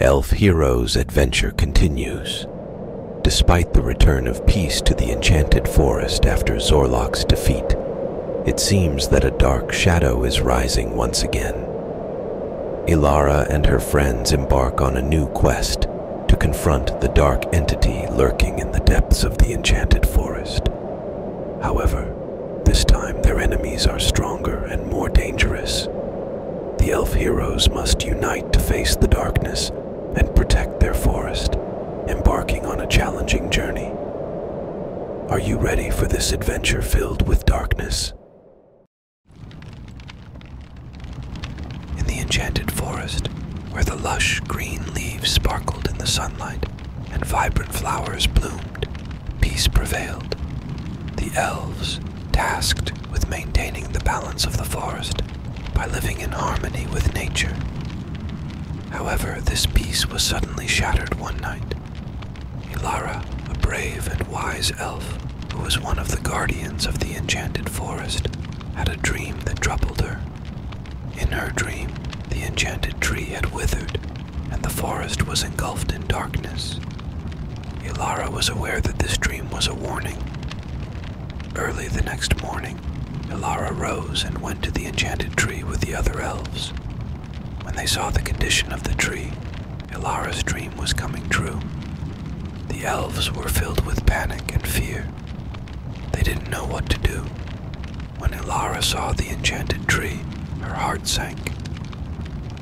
Elf Hero's adventure continues. Despite the return of peace to the Enchanted Forest after Zorlok's defeat, it seems that a dark shadow is rising once again. Ilara and her friends embark on a new quest to confront the dark entity lurking in the depths of the Enchanted Forest. However, this time their enemies are stronger and more dangerous. The elf heroes must unite to face the darkness and protect their forest, embarking on a challenging journey. Are you ready for this adventure filled with darkness? In the enchanted forest, where the lush green leaves sparkled in the sunlight and vibrant flowers bloomed, peace prevailed. The elves, tasked with maintaining the balance of the forest by living in harmony with nature. However, this peace was suddenly shattered one night. Ilara, a brave and wise elf who was one of the guardians of the enchanted forest, had a dream that troubled her. In her dream, the enchanted tree had withered, and the forest was engulfed in darkness. Ilara was aware that this dream was a warning. Early the next morning, Ilara rose and went to the enchanted tree with the other elves. When they saw the condition of the tree, Ilara's dream was coming true. The elves were filled with panic and fear. They didn't know what to do. When Ilara saw the enchanted tree, her heart sank.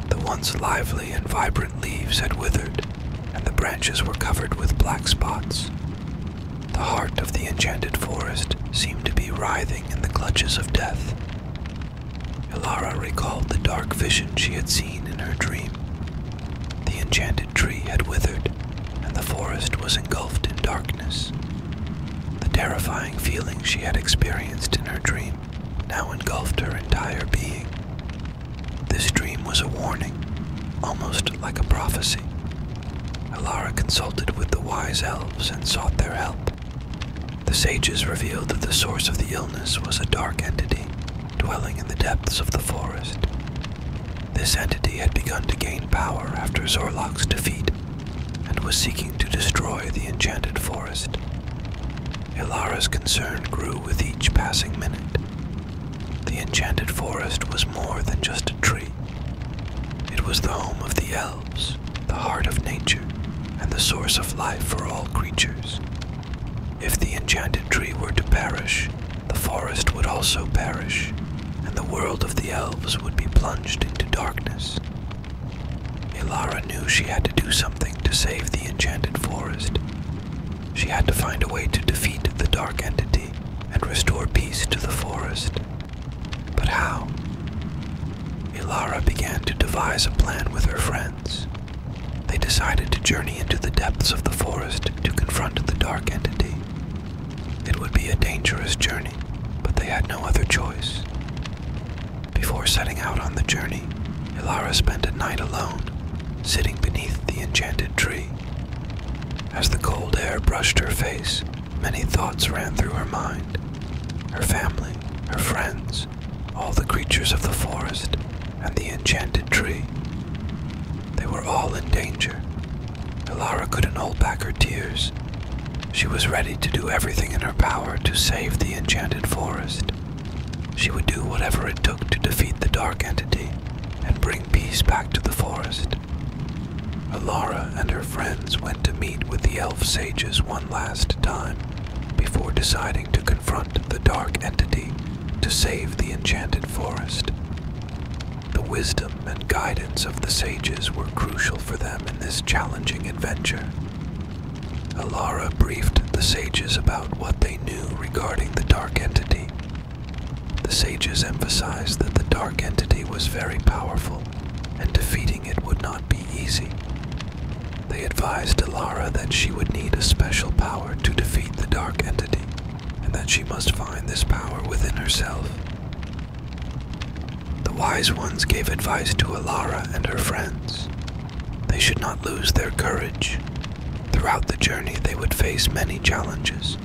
The once lively and vibrant leaves had withered, and the branches were covered with black spots. The heart of the enchanted forest seemed to be writhing in the clutches of death. Ilara recalled the dark vision she had seen in her dream. The enchanted tree had withered, and the forest was engulfed in darkness. The terrifying feeling she had experienced in her dream now engulfed her entire being. This dream was a warning, almost like a prophecy. Alara consulted with the wise elves and sought their help. The sages revealed that the source of the illness was a dark entity dwelling in the depths of the forest. This entity had begun to gain power after Zorlok's defeat and was seeking to destroy the enchanted forest. Ilara's concern grew with each passing minute. The enchanted forest was more than just a tree. It was the home of the elves, the heart of nature, and the source of life for all creatures. If the enchanted tree were to perish, the forest would also perish, and the world of the elves would be plunged into darkness. Ilara knew she had to do something to save the enchanted forest. She had to find a way to defeat the dark entity and restore peace to the forest. But how? Ilara began to devise a plan with her friends. They decided to journey into the depths of the forest to confront the dark entity. It would be a dangerous journey, but they had no other choice. Before setting out on the journey, Ilara spent a night alone, sitting beneath the enchanted tree. As the cold air brushed her face, many thoughts ran through her mind. Her family, her friends, all the creatures of the forest, and the enchanted tree. They were all in danger. Ilara couldn't hold back her tears. She was ready to do everything in her power to save the enchanted forest. She would do whatever it took to defeat the dark entity and bring peace back to the forest. Alara and her friends went to meet with the elf sages one last time before deciding to confront the dark entity to save the enchanted forest. The wisdom and guidance of the sages were crucial for them in this challenging adventure, Alara briefed the sages about what they knew regarding the dark entity. The sages emphasized that the dark entity was very powerful, and defeating it would not be easy. They advised Alara that she would need a special power to defeat the dark entity, and that she must find this power within herself. The wise ones gave advice to Alara and her friends, they should not lose their courage. Throughout the journey, they would face many challenges,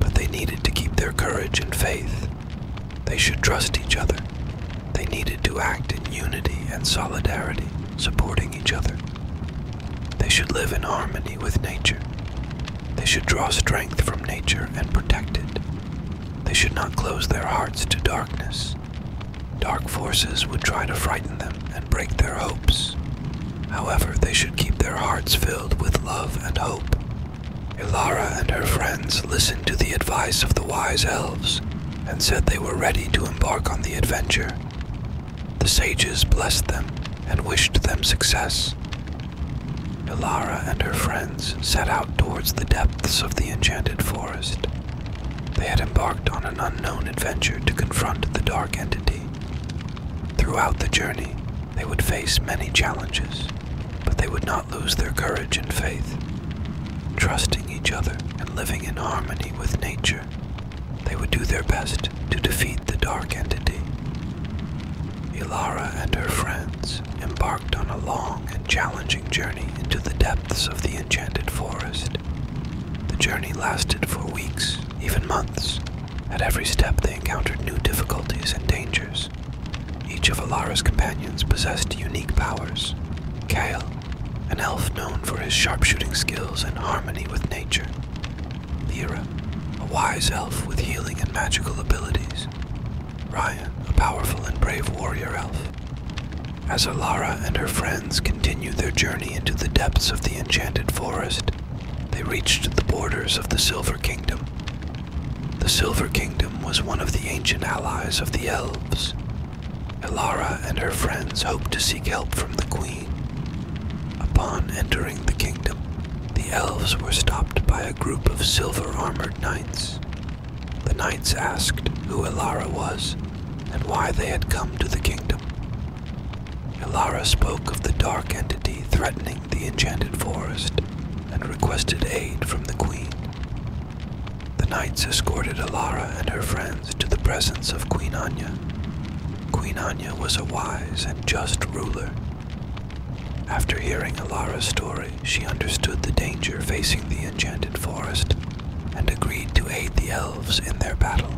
but they needed to keep their courage and faith. They should trust each other. They needed to act in unity and solidarity, supporting each other. They should live in harmony with nature. They should draw strength from nature and protect it. They should not close their hearts to darkness. Dark forces would try to frighten them and break their hopes. However, they should keep their hearts filled with love and hope. Ilara and her friends listened to the advice of the wise elves and said they were ready to embark on the adventure. The sages blessed them and wished them success. Ilara and her friends set out towards the depths of the enchanted forest. They had embarked on an unknown adventure to confront the dark entity. Throughout the journey, they would face many challenges, but they would not lose their courage and faith. Trusting each other and living in harmony with nature, they would do their best to defeat the dark entity. Ilara and her friends embarked on a long and challenging journey into the depths of the enchanted forest. The journey lasted for weeks, even months. At every step, they encountered new difficulties and dangers. Each of Alara's companions possessed unique powers. Kale, an elf known for his sharpshooting skills and harmony with nature. Lyra, a wise elf with healing and magical abilities. Ryan, a powerful and brave warrior elf. As Alara and her friends continued their journey into the depths of the enchanted forest, they reached the borders of the Silver Kingdom. The Silver Kingdom was one of the ancient allies of the elves. Elara and her friends hoped to seek help from the queen. Upon entering the kingdom, the elves were stopped by a group of silver armored knights. The knights asked who Elara was and why they had come to the kingdom. Ilara spoke of the dark entity threatening the enchanted forest and requested aid from the queen. The knights escorted Ilara and her friends to the presence of Queen Anya. Queen Anya was a wise and just ruler. After hearing Alara's story, she understood the danger facing the enchanted forest and agreed to aid the elves in their battle.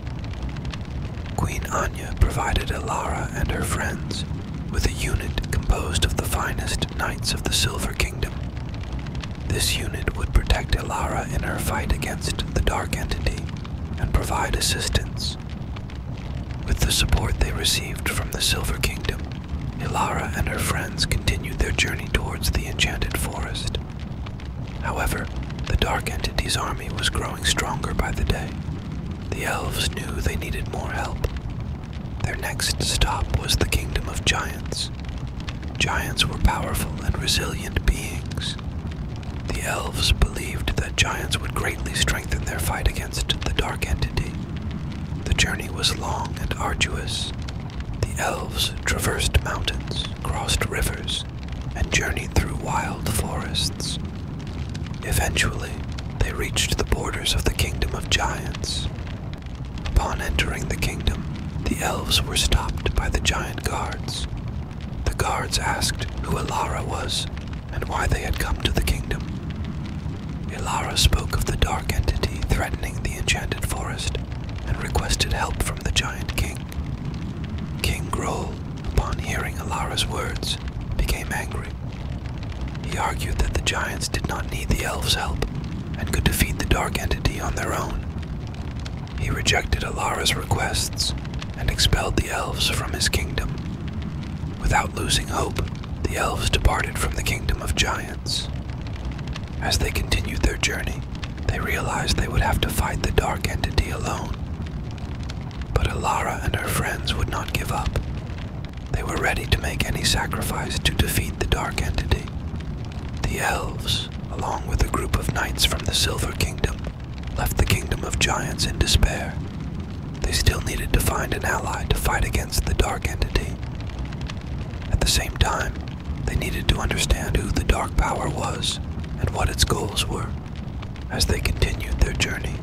Queen Anya provided Ilara and her friends with a unit composed of the finest knights of the Silver Kingdom. This unit would protect Ilara in her fight against the Dark Entity and provide assistance. With the support they received from the Silver Kingdom, Ilara and her friends continued their journey towards the Enchanted Forest. However, the Dark Entity's army was growing stronger by the day. The elves knew they needed more help. Their next stop was the Kingdom of Giants. Giants were powerful and resilient beings. The elves believed that giants would greatly strengthen their fight against the Dark Entity. The journey was long and arduous, the elves traversed mountains, crossed rivers, and journeyed through wild forests. Eventually, they reached the borders of the Kingdom of Giants. Upon entering the kingdom, the elves were stopped by the giant guards. The guards asked who Ilara was and why they had come to the kingdom. Ilara spoke of the dark entity threatening the enchanted forest and requested help from the giant king king. King upon hearing Alara's words, became angry. He argued that the giants did not need the elves' help and could defeat the dark entity on their own. He rejected Alara's requests and expelled the elves from his kingdom. Without losing hope, the elves departed from the kingdom of giants. As they continued their journey, they realized they would have to fight the dark entity alone. But Alara and her friends would not give up. They were ready to make any sacrifice to defeat the dark entity. The elves, along with a group of knights from the Silver Kingdom, left the Kingdom of Giants in despair. They still needed to find an ally to fight against the dark entity. At the same time, they needed to understand who the Dark Power was and what its goals were. As they continued their journey,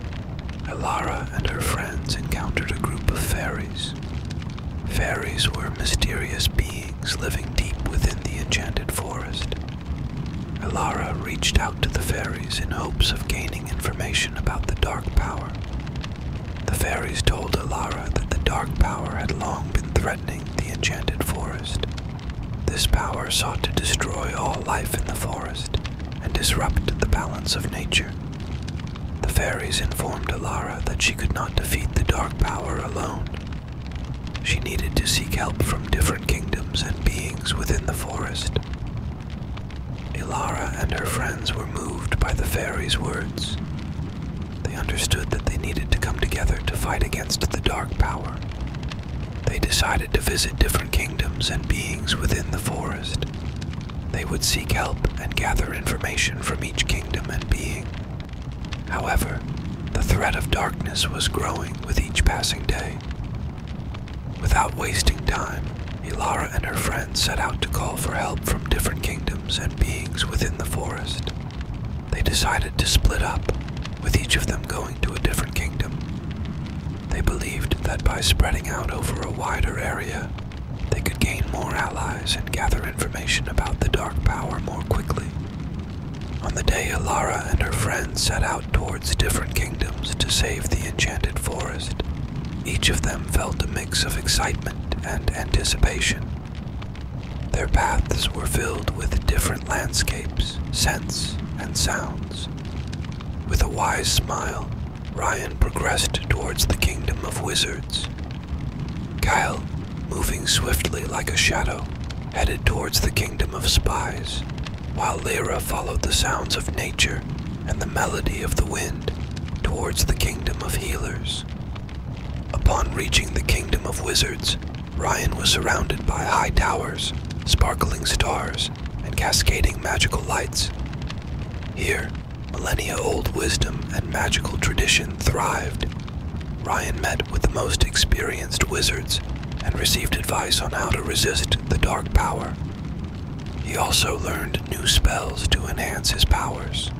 Elara and her friends encountered a group of fairies. Fairies were mysterious beings living deep within the enchanted forest. Elara reached out to the fairies in hopes of gaining information about the Dark Power. The fairies told Elara that the Dark Power had long been threatening the enchanted forest. This power sought to destroy all life in the forest and disrupt the balance of nature. The fairies informed Ilara that she could not defeat the dark power alone. She needed to seek help from different kingdoms and beings within the forest. Ilara and her friends were moved by the fairies' words they understood that they needed to come together to fight against the dark power. They decided to visit different kingdoms and beings within the forest. They would seek help and gather information from each kingdom and being. However, the threat of darkness was growing with each passing day. Without wasting time, Ilara and her friends set out to call for help from different kingdoms and beings within the forest. They decided to split up, with each of them going to a different kingdom. They believed that by spreading out over a wider area, they could gain more allies and gather information about the Dark Power more quickly. On the day Alara and her friends set out towards different kingdoms to save the enchanted forest, each of them felt a mix of excitement and anticipation. Their paths were filled with different landscapes, scents, and sounds. With a wise smile, Ryan progressed towards the kingdom of wizards. Kyle, moving swiftly like a shadow, headed towards the kingdom of spies, while Lyra followed the sounds of nature and the melody of the wind towards the kingdom of healers. Upon reaching the Kingdom of Wizards, Ryan was surrounded by high towers, sparkling stars, and cascading magical lights. Here, millennia old wisdom and magical tradition thrived. Ryan met with the most experienced wizards and received advice on how to resist the dark power. He also learned new spells to enhance his powers.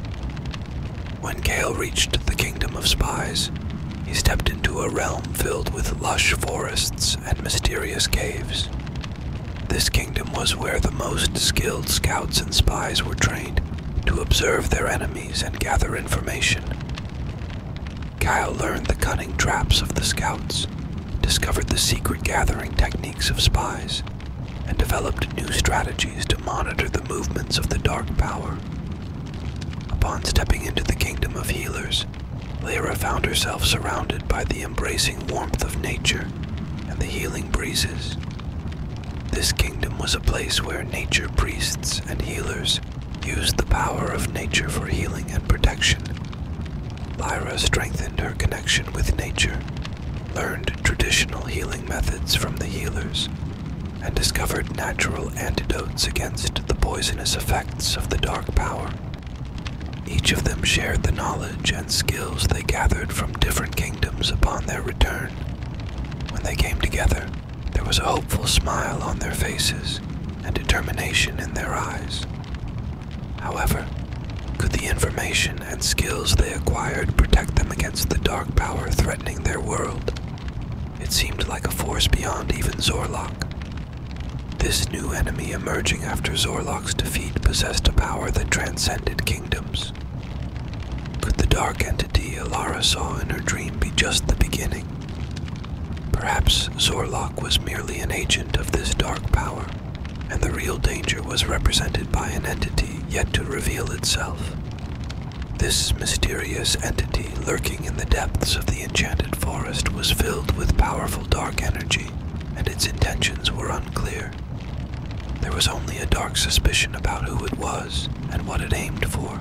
When Gale reached the kingdom of spies, he stepped into a realm filled with lush forests and mysterious caves. This kingdom was where the most skilled scouts and spies were trained to observe their enemies and gather information. Kyle learned the cunning traps of the scouts, discovered the secret gathering techniques of spies, and developed new strategies to monitor the movements of the dark power. Upon stepping into the kingdom of healers, Lyra found herself surrounded by the embracing warmth of nature and the healing breezes. This kingdom was a place where nature priests and healers used the power of nature for healing and protection. Lyra strengthened her connection with nature, learned traditional healing methods from the healers, and discovered natural antidotes against the poisonous effects of the dark power. Each of them shared the knowledge and skills they gathered from different kingdoms upon their return. When they came together, there was a hopeful smile on their faces and determination in their eyes. However, could the information and skills they acquired protect them against the dark power threatening their world? It seemed like a force beyond even Zorlok. This new enemy emerging after Zorlok's defeat possessed a power that transcended kingdoms. Could the dark entity Alara saw in her dream be just the beginning? Perhaps Zorlok was merely an agent of this dark power, and the real danger was represented by an entity yet to reveal itself. This mysterious entity lurking in the depths of the enchanted forest was filled with powerful dark energy, and its intentions were unclear. There was only a dark suspicion about who it was and what it aimed for.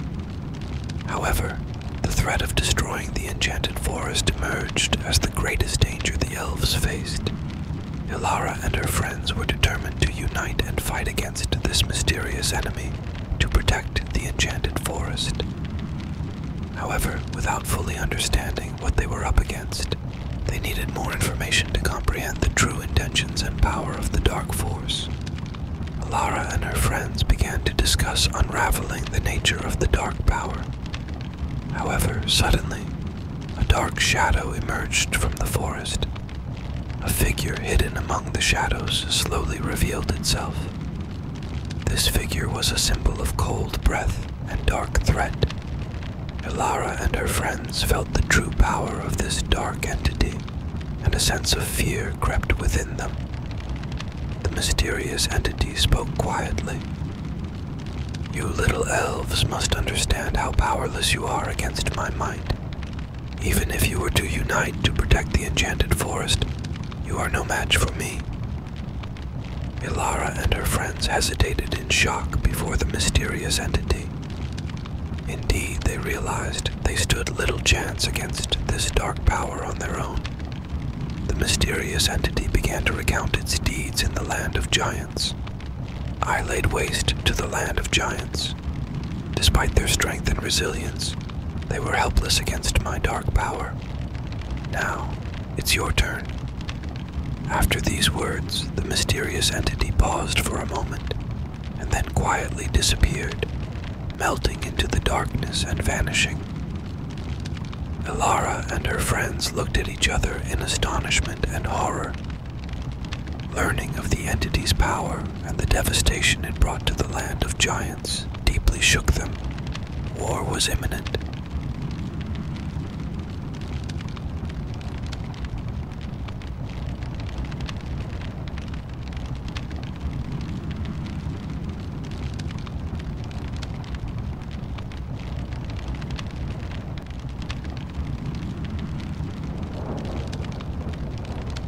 However, the threat of destroying the enchanted forest emerged as the greatest danger the elves faced. Ilara and her friends were determined to unite and fight against this mysterious enemy to protect the enchanted forest. However, without fully understanding what they were up against, they needed more information to comprehend the true intentions and power of the Dark Force. Alara and her friends began to discuss unraveling the nature of the Dark Power. However, suddenly, a dark shadow emerged from the forest a figure hidden among the shadows slowly revealed itself. This figure was a symbol of cold breath and dark threat. Ilara and her friends felt the true power of this dark entity, and a sense of fear crept within them. The mysterious entity spoke quietly. You little elves must understand how powerless you are against my might. Even if you were to unite to protect the enchanted forest, you are no match for me. Ilara and her friends hesitated in shock before the mysterious entity. Indeed, they realized they stood little chance against this dark power on their own. The mysterious entity began to recount its deeds in the land of giants. I laid waste to the land of giants. Despite their strength and resilience, they were helpless against my dark power. Now, it's your turn. After these words, the mysterious entity paused for a moment and then quietly disappeared, melting into the darkness and vanishing. Ilara and her friends looked at each other in astonishment and horror Learning of the entity's power and the devastation it brought to the land of giants deeply shook them. War was imminent.